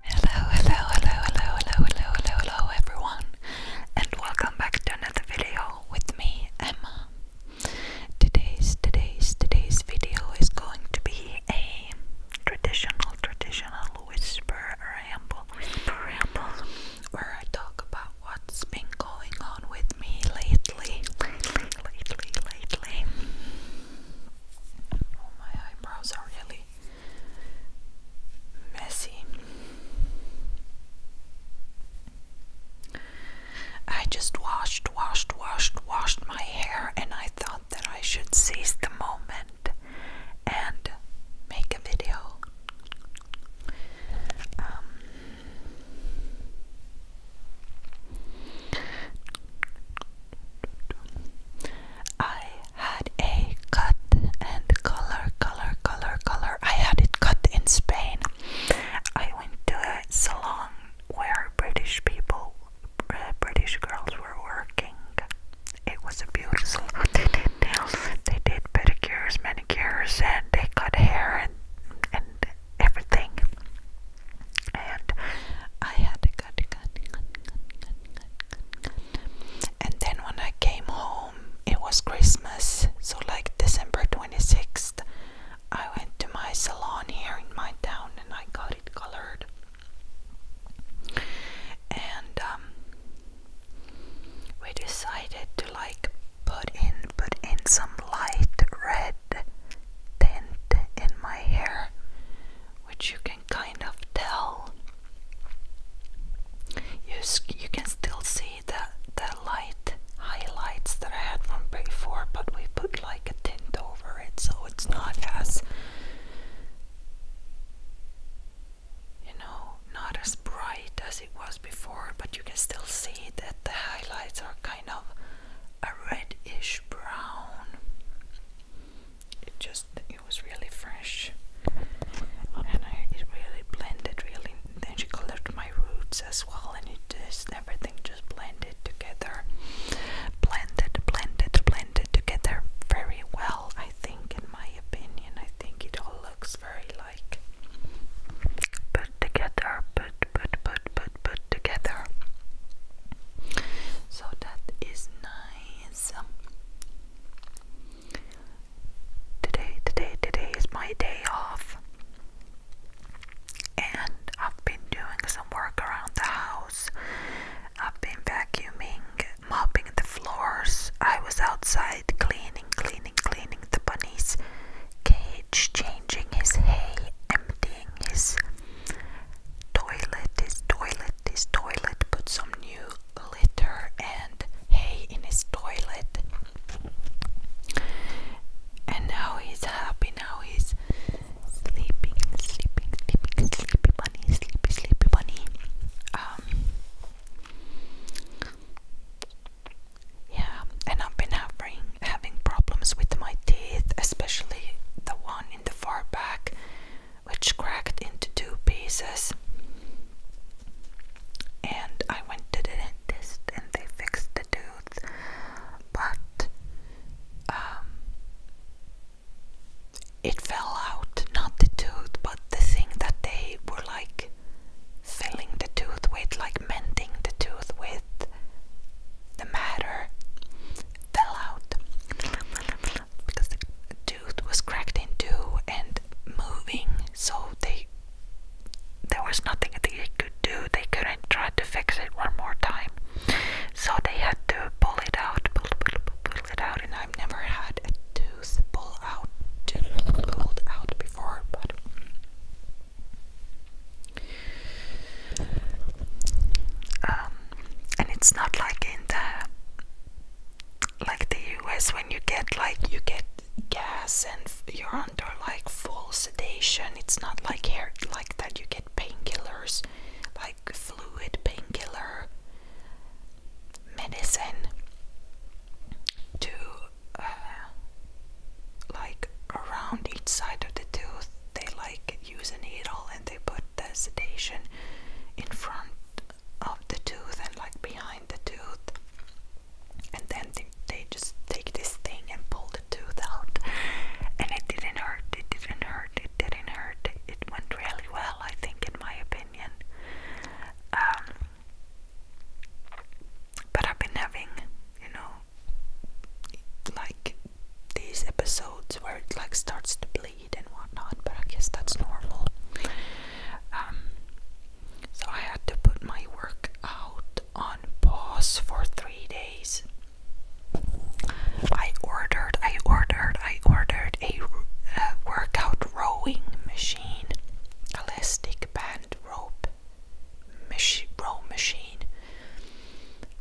Hello, hello, hello, hello, hello, hello, hello, hello, everyone, and welcome back to another video with me, Emma. Today's, today's, today's video is going to be a traditional, traditional whisper ramble, whisper ramble, where I talk about what's been going on with me lately, lately, lately, lately. Oh, my eyebrows are really messy. I just washed, washed, washed, washed my hair, and I thought that I should seize the moment and make a video. Um, I had a cut and color, color, color, color. I had it cut in Spain. I went to a salon where British people, uh, British girls were working. It was beautiful They did nails, they did pedicures, manicures, and they cut hair and and everything. And I had a cut, cut, cut, cut, cut, and then when I came home, it was Christmas, so like December 26th, I went to my salon here in my town and I got it colored. And um, we decided to like put in put in some light red tint in my hair which you can kind of tell. You you can still see the the light highlights that I had from before, but we put like a tint over it, so it's not as you know, not as bright as it was before, but you can still see that the highlights are kind of a reddish brown it just it was really fresh and I, it really blended really then she colored my roots as well and it just everything just blended together blended blended blended together very well I think in my opinion I think it all looks very like put together put put put put put together so that is nice so Today, today, today is my day off. And I've been doing some work around the house. I've been vacuuming, mopping the floors. I was outside cleaning, cleaning, cleaning the bunny's cage, changing his hay, emptying saying toilet is toilet is toilet. Put some new litter and hay in his toilet. And now he's happy. Now he's sleeping, sleeping, sleeping, sleepy bunny, sleepy, sleepy bunny. Um, yeah, and I've been having having problems with my teeth, especially the one in the far back which cracked into two pieces. And I went to the dentist and they fixed the tooth, but um, it fell out not the tooth, but the thing that they were like filling the tooth with, like mending the tooth with the matter fell out because the tooth was cracked in two and moving, so they there was nothing they could do. They couldn't try to fix it one more time, so they had to pull it out, pull, pull, pull it out. And I've never had a tooth pull out, pulled out before, but um, and it's not like in the like the US when you get like you get gas and you're under like full sedation. It's not like here like that you get painkillers, like fluid painkiller medicine to uh, like around each side of the tooth. They like use a needle and they put the sedation in front of the tooth and like behind the tooth and then they, just take this thing and pull the tooth out and it didn't hurt it didn't hurt it didn't hurt it went really well i think in my opinion um, but i've been having you know like these episodes where it like starts to bleed and whatnot, but I guess that's normal. Um, so I had to put my work out on pause for three days. I ordered, I ordered, I ordered a uh, workout rowing machine, elastic band rope, mach row machine.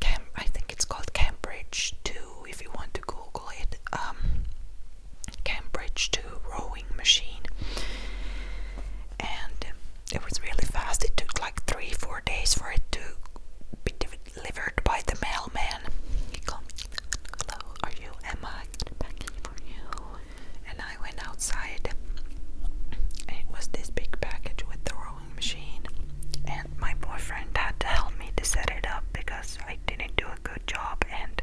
Cam I think it's called Cambridge 2 if you want to Google it. Um, Cambridge 2 rowing machine. And it was really fast. It took like three, four days for it to be delivered by the mailman. Hello, are you Emma? Packing for you. And I went outside. And it was this big package with the machine, and my boyfriend had to help me to set it up because I didn't do a good job, and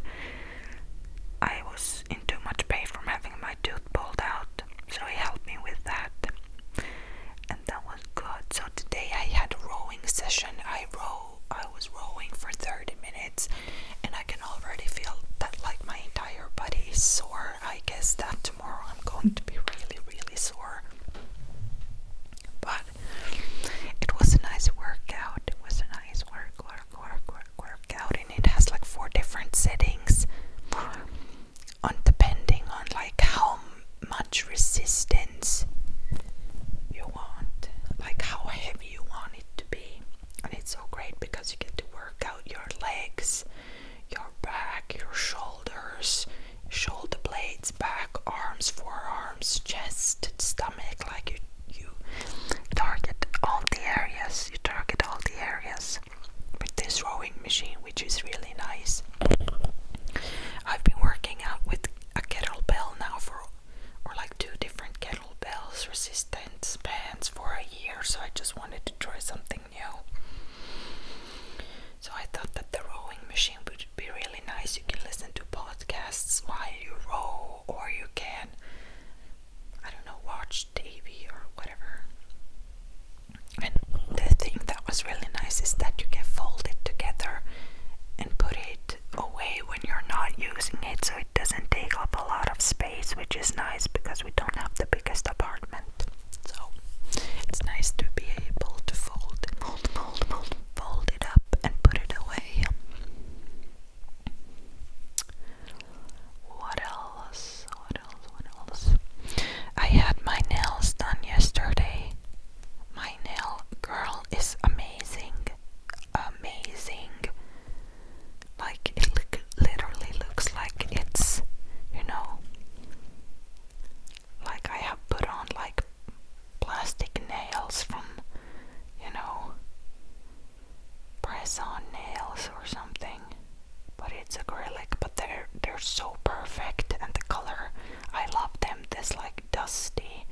I was in too much pain from having my tooth pulled out, so he helped me with that, and that was good. So today I had a rowing session. I row, I was rowing for 30 minutes, and I can already feel that like my entire body is sore. I guess that tomorrow I'm going to be really, really sore. But it was a nice workout. It was a nice work, work, work, work, workout, and it has like four different settings, on depending on like how much resistance you want, like how heavy you want it to be. And it's so great because you get to work out your legs, your your back, your shoulders, shoulder blades, back, arms, forearms, chest, stomach, like you you target all the areas. You target all the areas with this rowing machine, which is really nice. I've been working out with a kettlebell now for or like two different kettlebells, resistance bands for a year, so I just wanted to try something new. So I thought that the rowing machine would be really nice. You can listen to podcasts while you row, or you can, I don't know, watch TV or whatever. And the thing that was really nice is that you can fold it together and put it away when you're not using it so it doesn't take up a lot of space, which is nice because we don't have the biggest apartment. So it's nice to be able to fold, fold, fold, fold, it up and put it away. What else? What else? What else? I had my nails done yesterday. My nail girl is amazing. Amazing. Like it literally looks like it's, you know, like I have put on like plastic nails from you know press on nails or something but it's acrylic but they're they're so perfect and the color I love them this like dusty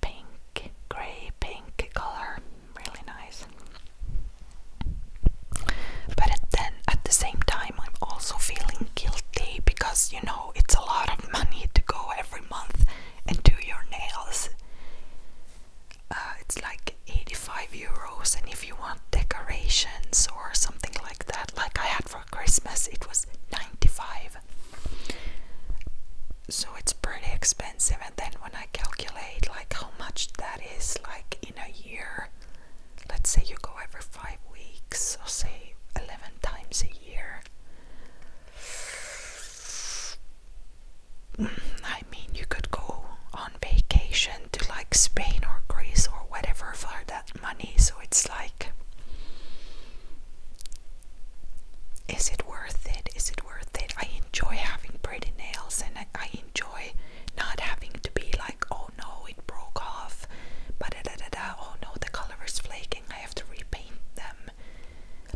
pink gray pink color really nice but at then at the same time, I'm also feeling guilty because you know it's a lot of money to go every month and do your nails. Uh, it's like 85 euros, and if you want decorations or something like that, like I had for Christmas, it was 95. So it's pretty expensive, and then when I calculate like how much that is, like in a year, let's say you go every five weeks, or say 11 times a year. Mm, I mean, you could go on vacation to like Spain or Greece or whatever for that money, so it's like, is it worth it? Is it worth it? I enjoy having pretty nails and I, enjoy not having to be like oh no, it broke off, but da, da, da. oh no, the color is flaking, I have to repaint them.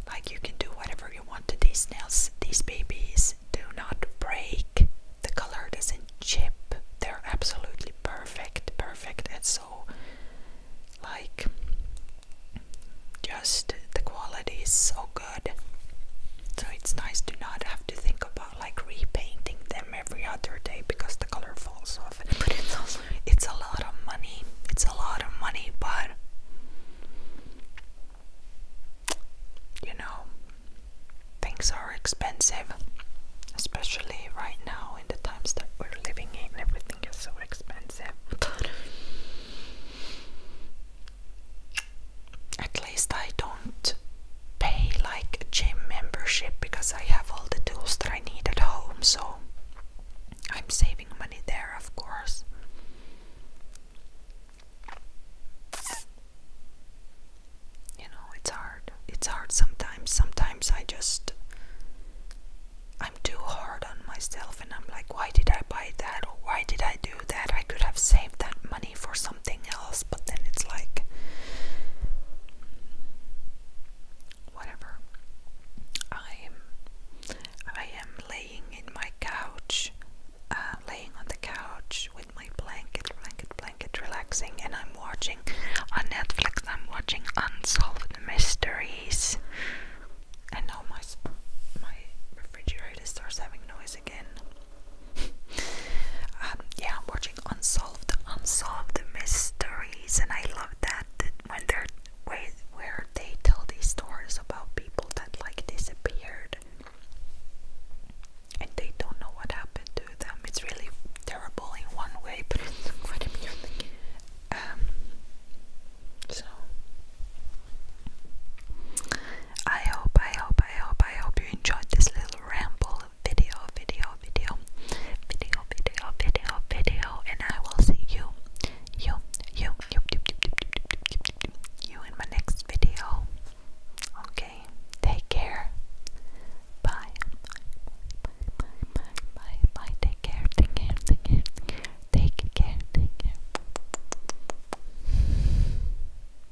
Like you can do whatever you want to these nails. These babies do not break. The color doesn't chip. They're absolutely perfect, perfect, and so like just the quality is so good. So it's nice to not have to think about like repainting them every other day because the color falls off. But it's also it's a lot of money. It's a lot of money, but you know, things are expensive, especially right now in the times that we're living in. Everything is so expensive at least I don't pay like a gym membership because I have all the tools that I need at home, so I'm saving money there, of course. You know, it's hard. It's hard sometimes. Sometimes I just I'm too hard on myself and I'm like, why did I buy that why did I do that? I could have saved that money for something something else, but then it's like whatever. I am I am laying in my couch, uh, laying on the couch with my blanket, blanket, blanket, relaxing, and I'm watching on Netflix. I'm watching Unsolved Mysteries, and now my my refrigerator starts having noise again. Um, yeah, I'm watching Unsolved Unsolved Mysteries, and I love that, when they're where, they tell these stories about people that like disappeared and they don't know what happened to them. It's really terrible in one way, but um, so I hope, I hope, I hope, I hope you enjoyed this little ramble video, video, video, video, video, video, video, and I will see you, you, you, you, you, you, you in my next video. Okay, take care. Bye. Bye, bye, bye, bye, bye. Take care, take care, take care, take care, take care. Take care.